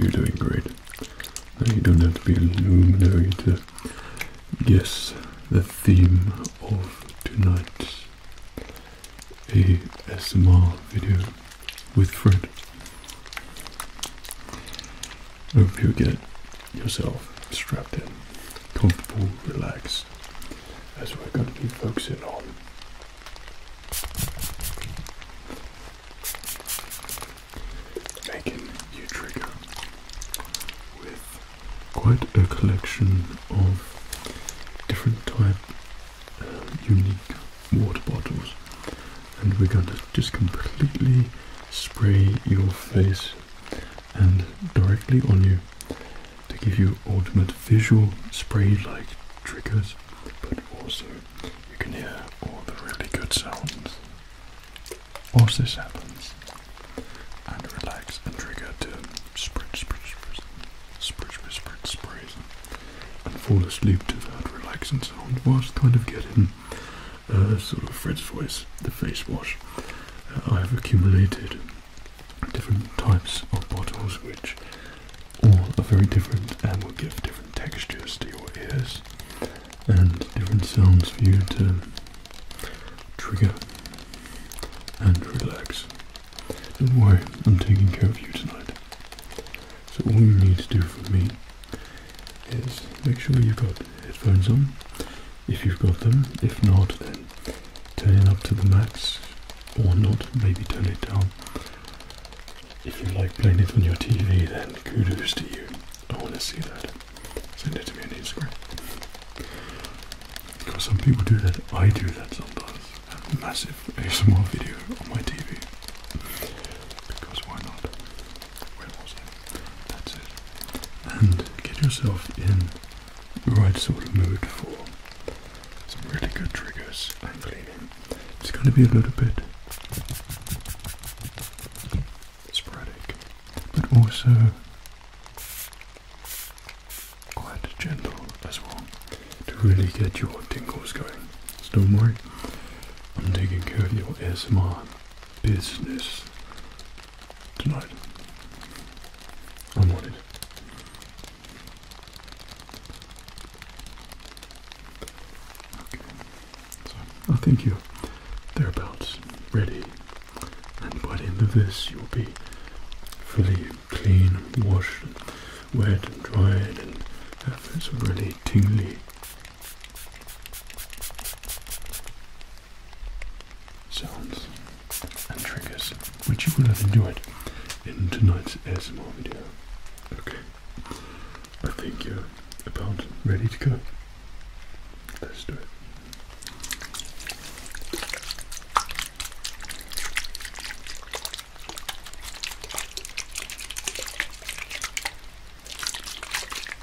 you're doing great. you don't have to be a luminary to guess the theme of tonight's ASMR video with Fred. Hope you get it yourself strapped in, comfortable, relaxed, as we're going to be focusing on making you trigger with quite a collection of different type uh, unique water bottles and we're going to just completely spray your face and directly on you to give you ultimate visual spray-like triggers, but also you can hear all the really good sounds. Whilst this happens, and relax and trigger to spread, spread, spread, spread, spread, spread, sprays, and fall asleep to that relaxing sound whilst kind of getting uh, sort of Fred's voice, the face wash. I have accumulated different types of bottles which all are very different and will give different textures to your ears and different sounds for you to trigger and relax. Don't worry, I'm taking care of you tonight. So all you need to do for me is make sure you've got headphones on if you've got them. If not, then turn it up to the max or not, maybe turn it down. If you like playing it on your TV, then kudos to you. I want to see that. Send it to me on Instagram. Because some people do that. I do that sometimes. have massive ASMR video on my TV. Because why not? Where was I? That's it. And get yourself in the right sort of mood for some really good triggers and cleaning. It's going to be a little bit sporadic, but also quite gentle as well to really get your tingles going. don't worry, I'm taking care of your ASMR business tonight. I Okay. So I think you thereabouts ready, and by the end of this, you'll be fully clean, washed, wet, and dried, and have this really tingly sounds and triggers, which you will have enjoyed in tonight's ASMR video. Okay, I think you're about ready to go. Let's do it.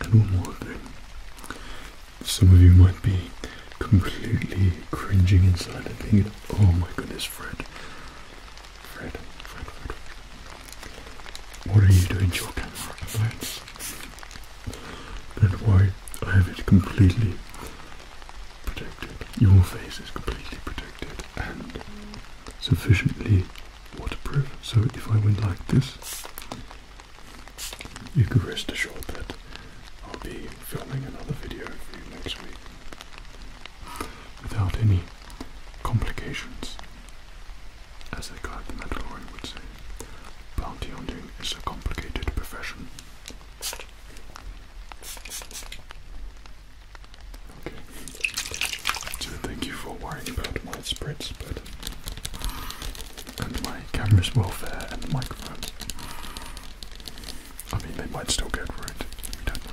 And one more thing. Some of you might be completely cringing inside and thinking, oh my goodness, Fred. Fred, Fred, Fred. What are you doing to your camera at the why I have it completely protected. Your face is completely protected and sufficiently waterproof. So if I went like this, you can rest assured that I'll be filming another video for you next week without any complications. As they a guide the Mandalorian would say, bounty hunting is a complicated profession. Okay. So thank you for worrying about my spreads, but and my camera's welfare and microphone. I mean, they might still get ruined. We don't know.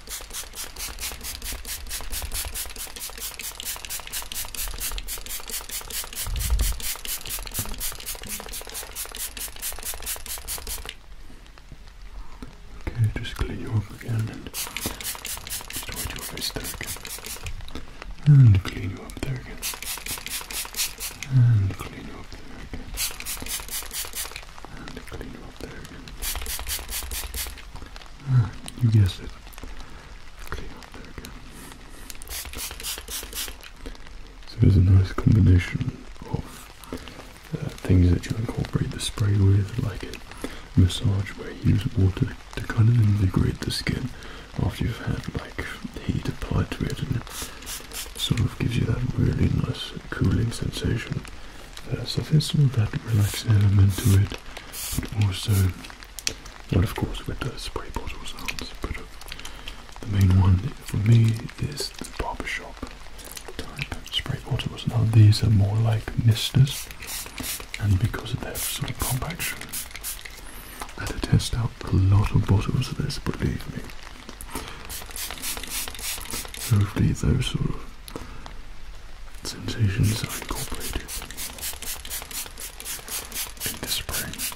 Okay, just clean you up again and start your face there again. And clean you up there again. And clean you up there again. And clean you up there again you guessed it. So there's a nice combination of uh, things that you incorporate the spray with, like massage where you use water to kind of invigorate the skin after you've had like heat applied to it and it sort of gives you that really nice cooling sensation. Uh, so there's sort of that relaxing element to it also, well, of course, with the spray bottles, but uh, the main one for me is the shop type spray bottles. Now, these are more like misters, and because of their sort of compaction, I had to test out a lot of bottles of this, believe me. Hopefully, those sort of sensations are incorporated in the spray.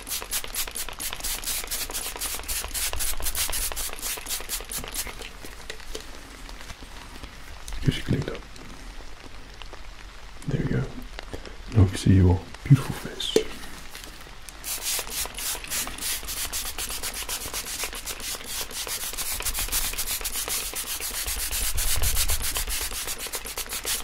Here's your up. There you go. Now we see your beautiful face.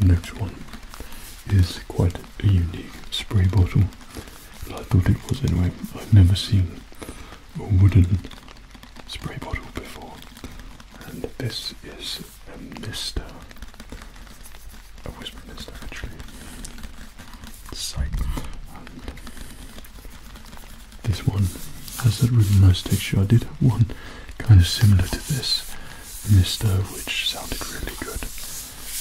The next one is quite a unique spray bottle. I thought it was anyway. I've never seen a wooden spray bottle before. And this is a mister. A whisper mister actually this one has that really nice texture. I did have one kind of similar to this, Mister, which sounded really good,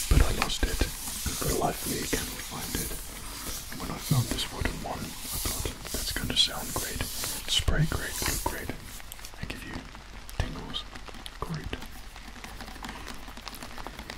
but I lost it. For the life of me, I cannot find it. When I found this wooden one, I thought that's going to sound great, spray great, look great, I give you tingles. Great.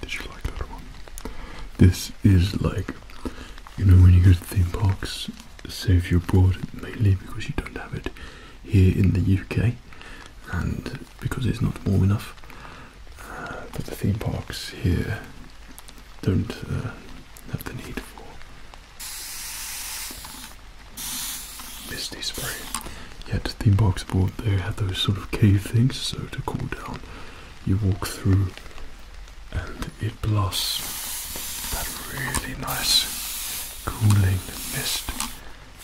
Did you like that one? This is like, you know, when you go to theme parks, Save your you mainly because you don't have it here in the UK, and because it's not warm enough. Uh, but the theme parks here don't uh, have the need for misty spray. Yet the theme parks board there have those sort of cave things, so to cool down, you walk through and it blasts that really nice cooling mist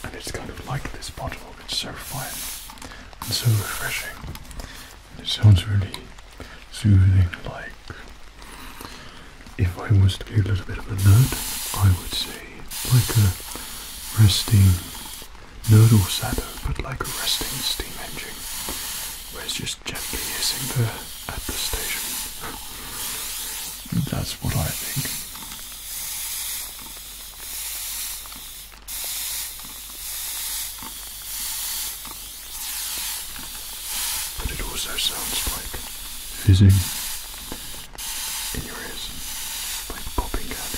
and it's kind of like this bottle. It's so fine and so refreshing. it sounds really soothing. Like if I was to be a little bit of a nerd, I would say like a resting nodal shadow, but like a resting steam engine, where it's just gently hissing there at the station. That's what I think. But it also sounds like fizzing in your ears, like popping out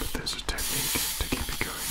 But there's a technique to keep it going.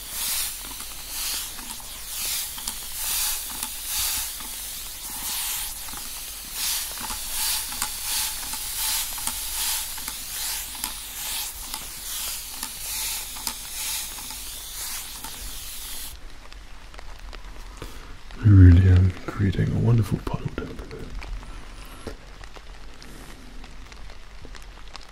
I really am creating a wonderful puddle down below.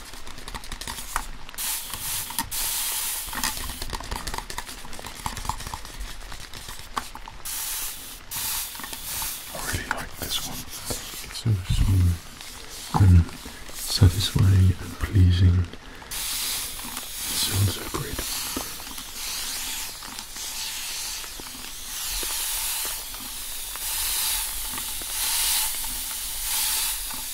I really like this one. It's so smooth and satisfying and pleasing. It sounds so great.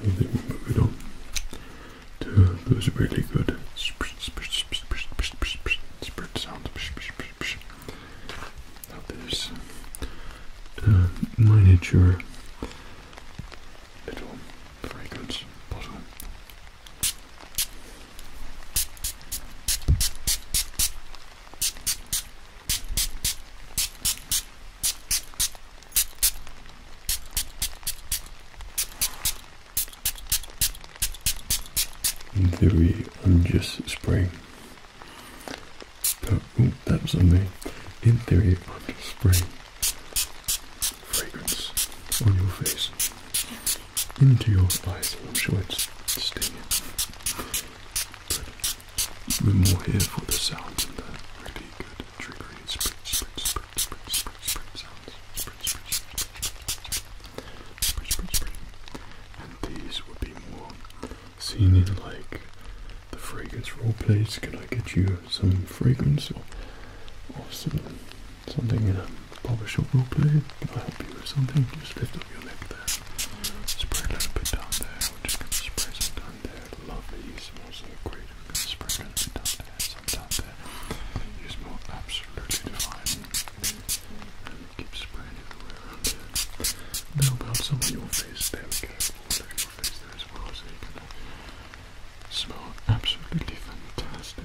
And then we move it on to those really good spread sounds. there's a miniature little fragrance bottle. In theory, I'm just oh, that was on me. In theory, i spray. fragrance on your face, into your eyes. I'm sure bit more here for the sounds and the really good triggery spritz, spritz, spritz, spritz, spritz, spritz sounds. Spritz, spritz, spritz, spritz, spritz, spritz. And these would be more seen in like the fragrance role plays. Can I get you some fragrance or, or some, something in a barbershop role play? Can I help you with something? Just lift of your lip Spray a little bit down there. just going to some down there. Lovely. You smell so great. We're going down there. Some down there. smell absolutely divine. keep spraying everywhere around about some of your face. There we go. All your face there as well. So you can smell absolutely fantastic.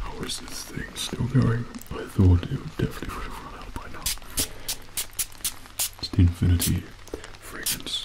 How is this thing still going? I thought it definitely would have run out by now. It's the Infinity Fragrance.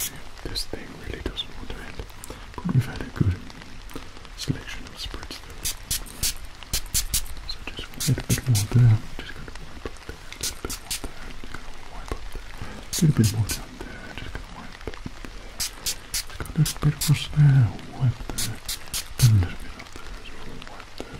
Okay, this thing really doesn't want to end, but we've had a good selection of spreads though. So just a little bit more there, just going to wipe up there, a little bit more there, just going to wipe up there, a little bit more down there, just going to wipe up there, just got a little bit across there, wipe there, then a little bit up there as well, wipe there,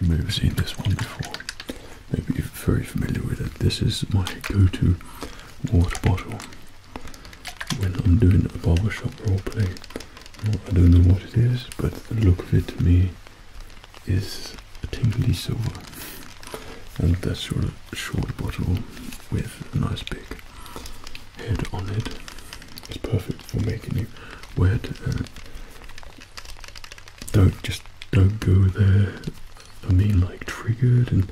You may have seen this one before. Maybe you're very familiar with it. This is my go-to water bottle. When I'm doing a barbershop role play. I don't know what it is, but the look of it to me is a tingly silver. And that sort of short bottle with a nice big head on it. It's perfect for making you wet. don't just don't go there. I mean, like triggered and,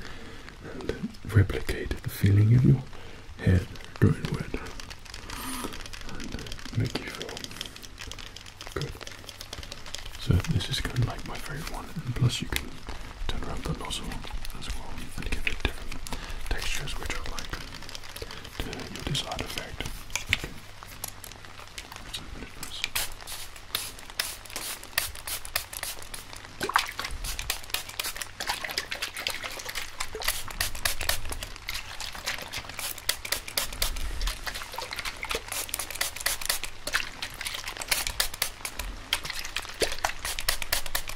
and replicate the feeling of your head going wet and make you feel good. So this is kind of like my favorite one, and plus you can turn around the nozzle as well and give it different textures, which I like. You your desired effect.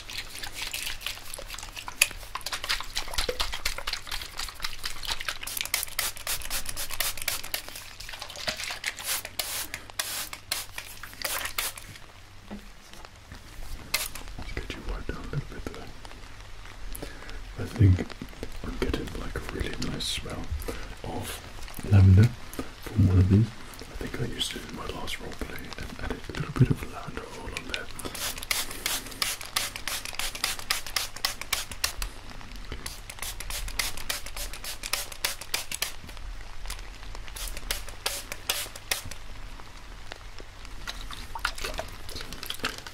Let's get you wiped down a little bit I think I'm getting like a really nice smell of lavender from one of these. I think I used it in my last role play and added a little bit of lavender oil on there.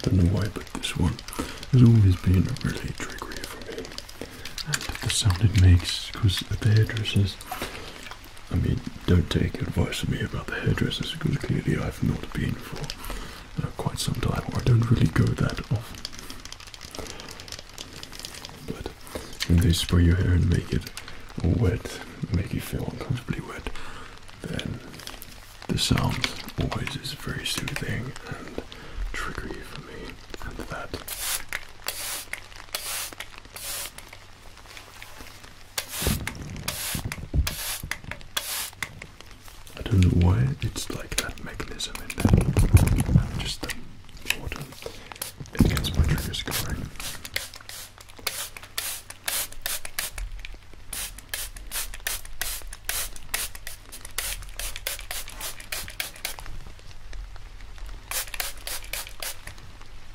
Don't know why, but this one has always been a really triggery for me. the sound it makes, because the hairdressers I mean, don't take advice from me about the hairdressers because clearly I've not been for uh, quite some time, or I don't really go that often. But when they spray your hair and make it wet, make you feel uncomfortably wet, then the sound always is very soothing and triggery for me, and that I don't know why it's like that mechanism in there. just um, water. It gets my triggers going.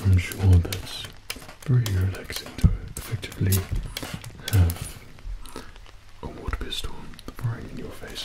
I'm sure that's very relaxing to effectively have a water pistol firing in your face.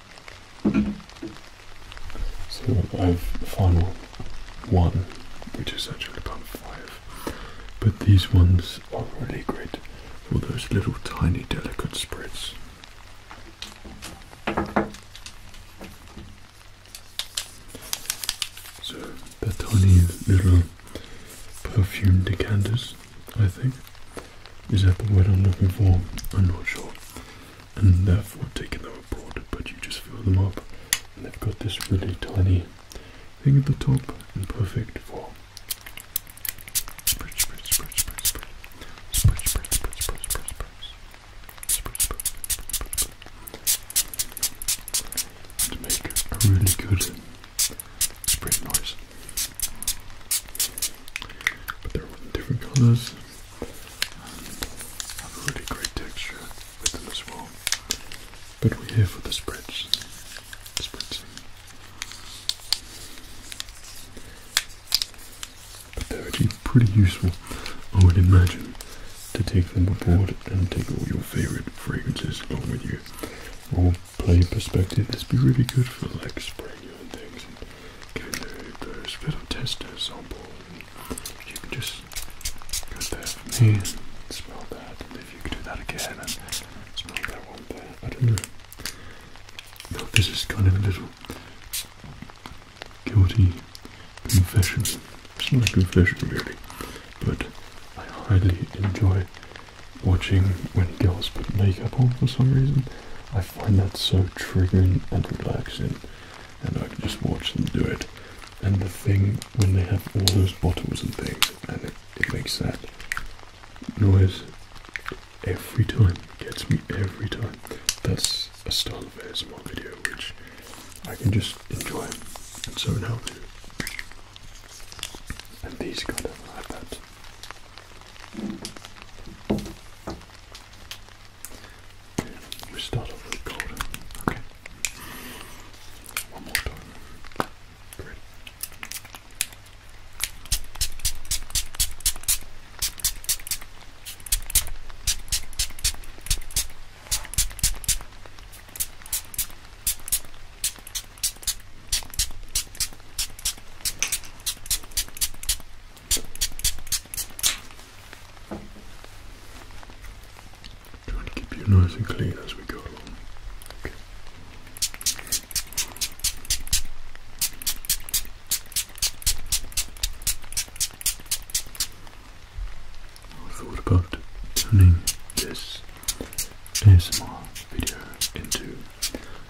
So I have final one, which is actually about five. But these ones are really great for those little tiny delicate spreads. So the tiny little perfume decanters I think. Is that the word I'm looking for? I'm not sure. And therefore taking them abroad, but you just fill them up. And they've got this really tiny thing at the top and perfect for make a really good spread noise. But they're different colors have a really great texture with them as But we're for the spritz, The But they're actually pretty useful, I would imagine, to take them aboard and take all your favourite fragrances along with you. Or play perspective. This would be really good for like spraying your things Get the, the spittle tester sample. You can just go there for me and smell that, if you can do that again and smell that one there. I don't know. this is kind of a little guilty confession. It's not a confession really, but I highly enjoy watching when girls put makeup on for some reason. I find that so triggering and relaxing, and I can just watch them do it. And the thing when they have all those bottles and things, and it, makes that noise every time, it gets me every time. That's a style of ASMR video which I can just enjoy, and so now. And these kind of have that we start off with gold. Okay. One more time. Great. Trying to keep you nice and clean as we go along. I thought about turning this ASMR video into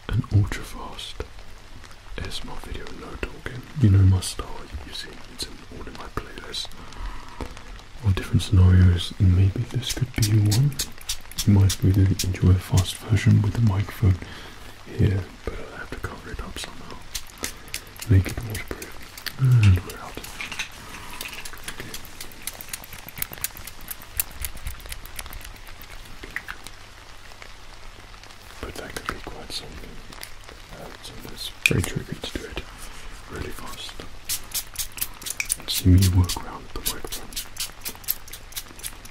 an ultra fast ASMR video, no talking. You know my style, you see, it's in all in my playlist. All different scenarios, and maybe this could be one. You might really enjoy a fast version with the microphone here, but I have to cover it up somehow. Make it waterproof. And we're out. But that could be quite something. Uh, so that's very tricky to do it really fast. see me work around the microphone.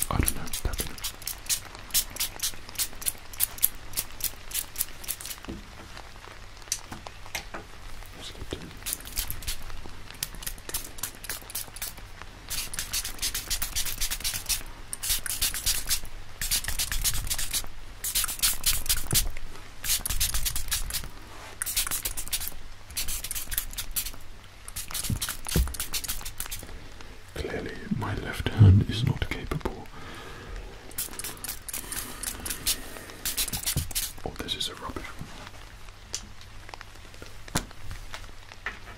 I don't know, Let's get to Clearly, my left hand is not capable. Oh, this is a rubbish one.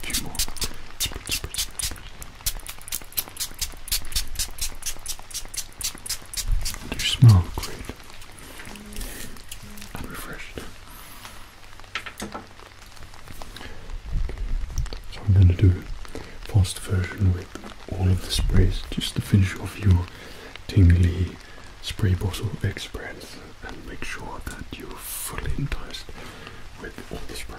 few more. You smell great refreshed. So I'm going to do a fast version with all of the sprays just to finish off your tingly spray bottle experience and make sure that you're fully enticed with all the spray.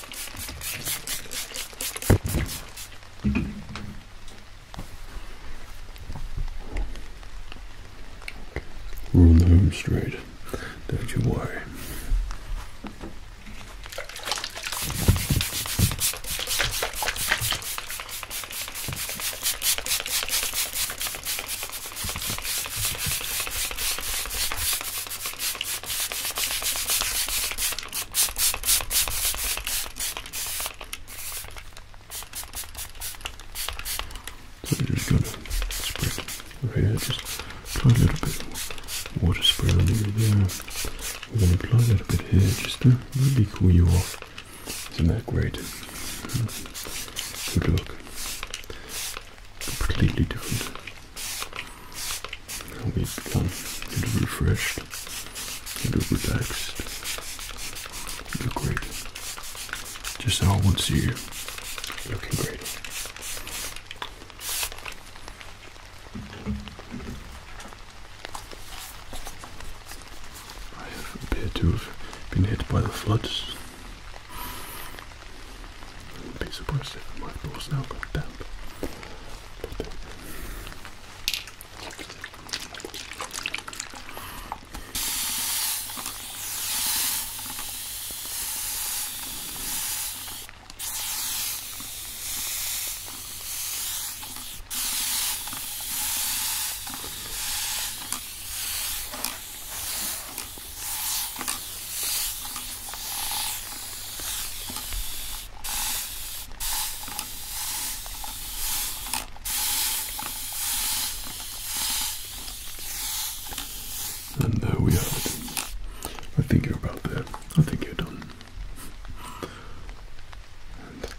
We're on the home straight. Don't you worry. So we're just going to spread here, just apply a little bit of water spray over there. We're going to apply a little bit here just to really cool you off. Isn't that great? Good look completely different help you become get refreshed, get relaxed, look great. Just how I want to see you, looking great. I appear to have been hit by the floods. I'd be surprised if my thoughts now got damp. But then, and there we have I think you're about there. I think you're done.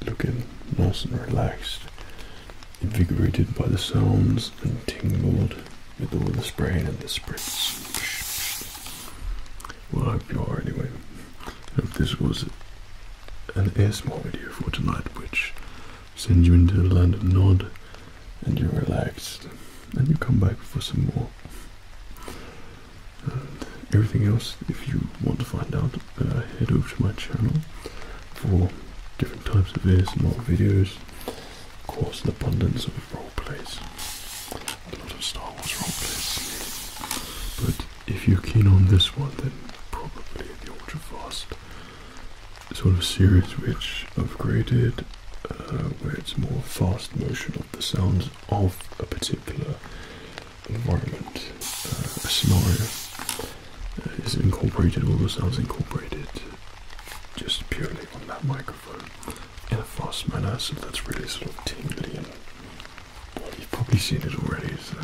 looking nice and relaxed, invigorated by the sounds and tingled with all the spraying and the spritz. Well, I hope you are anyway. I this was an ASMR video for tonight, which sends you into the land of Nod and you're relaxed and you come back for some more. everything else, if you want to find out, uh, head over to my channel for different types of ASMR videos. Of course, an abundance of role plays, a lot of Star Wars role plays. But if you're keen on this one, then probably the ultra fast sort of series which I've created, uh, where it's more fast motion of the sounds of a particular environment, uh, a scenario uh, is incorporated, all the sounds incorporated just purely on that microphone in a fast manner, so that's really sort of tingly and you've probably seen it already, so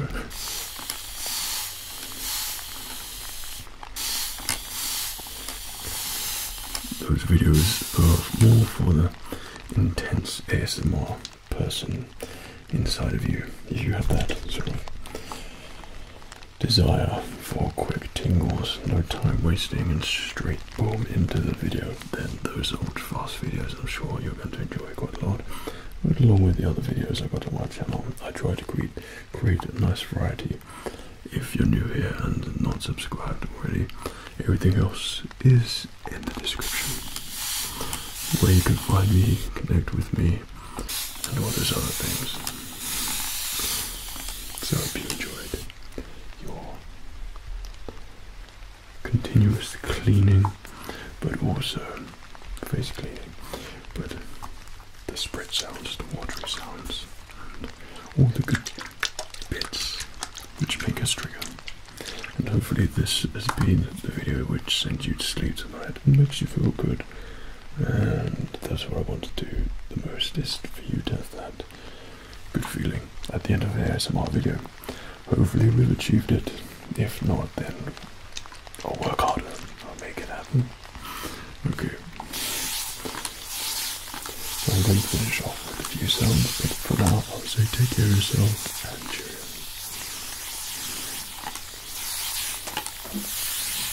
those videos are more for the intense ASMR person inside of you if you have that sort of desire for quick tingles, no time wasting, and straight boom into the video, then those old fast videos I'm sure you're going to enjoy quite a lot. along with the other videos I've got on my channel, I try to create, create a nice variety. If you're new here and not subscribed already, everything else is in the description where you can find me, connect with me, and all those other things. So I hope you enjoyed your continuous cleaning, but also face cleaning, but the spread sounds, the watery sounds, and all the good bits which make us trigger. And hopefully this has been the video which sends you to sleep tonight and makes you feel good. And that's what I want to do the most is for you to have that good feeling at the end of the ASMR video. Hopefully we've achieved it. If not, then I'll work harder. I'll make it happen. Okay. So I'm going to finish off with a few sounds, but for now I'll say take care of yourself and cheers.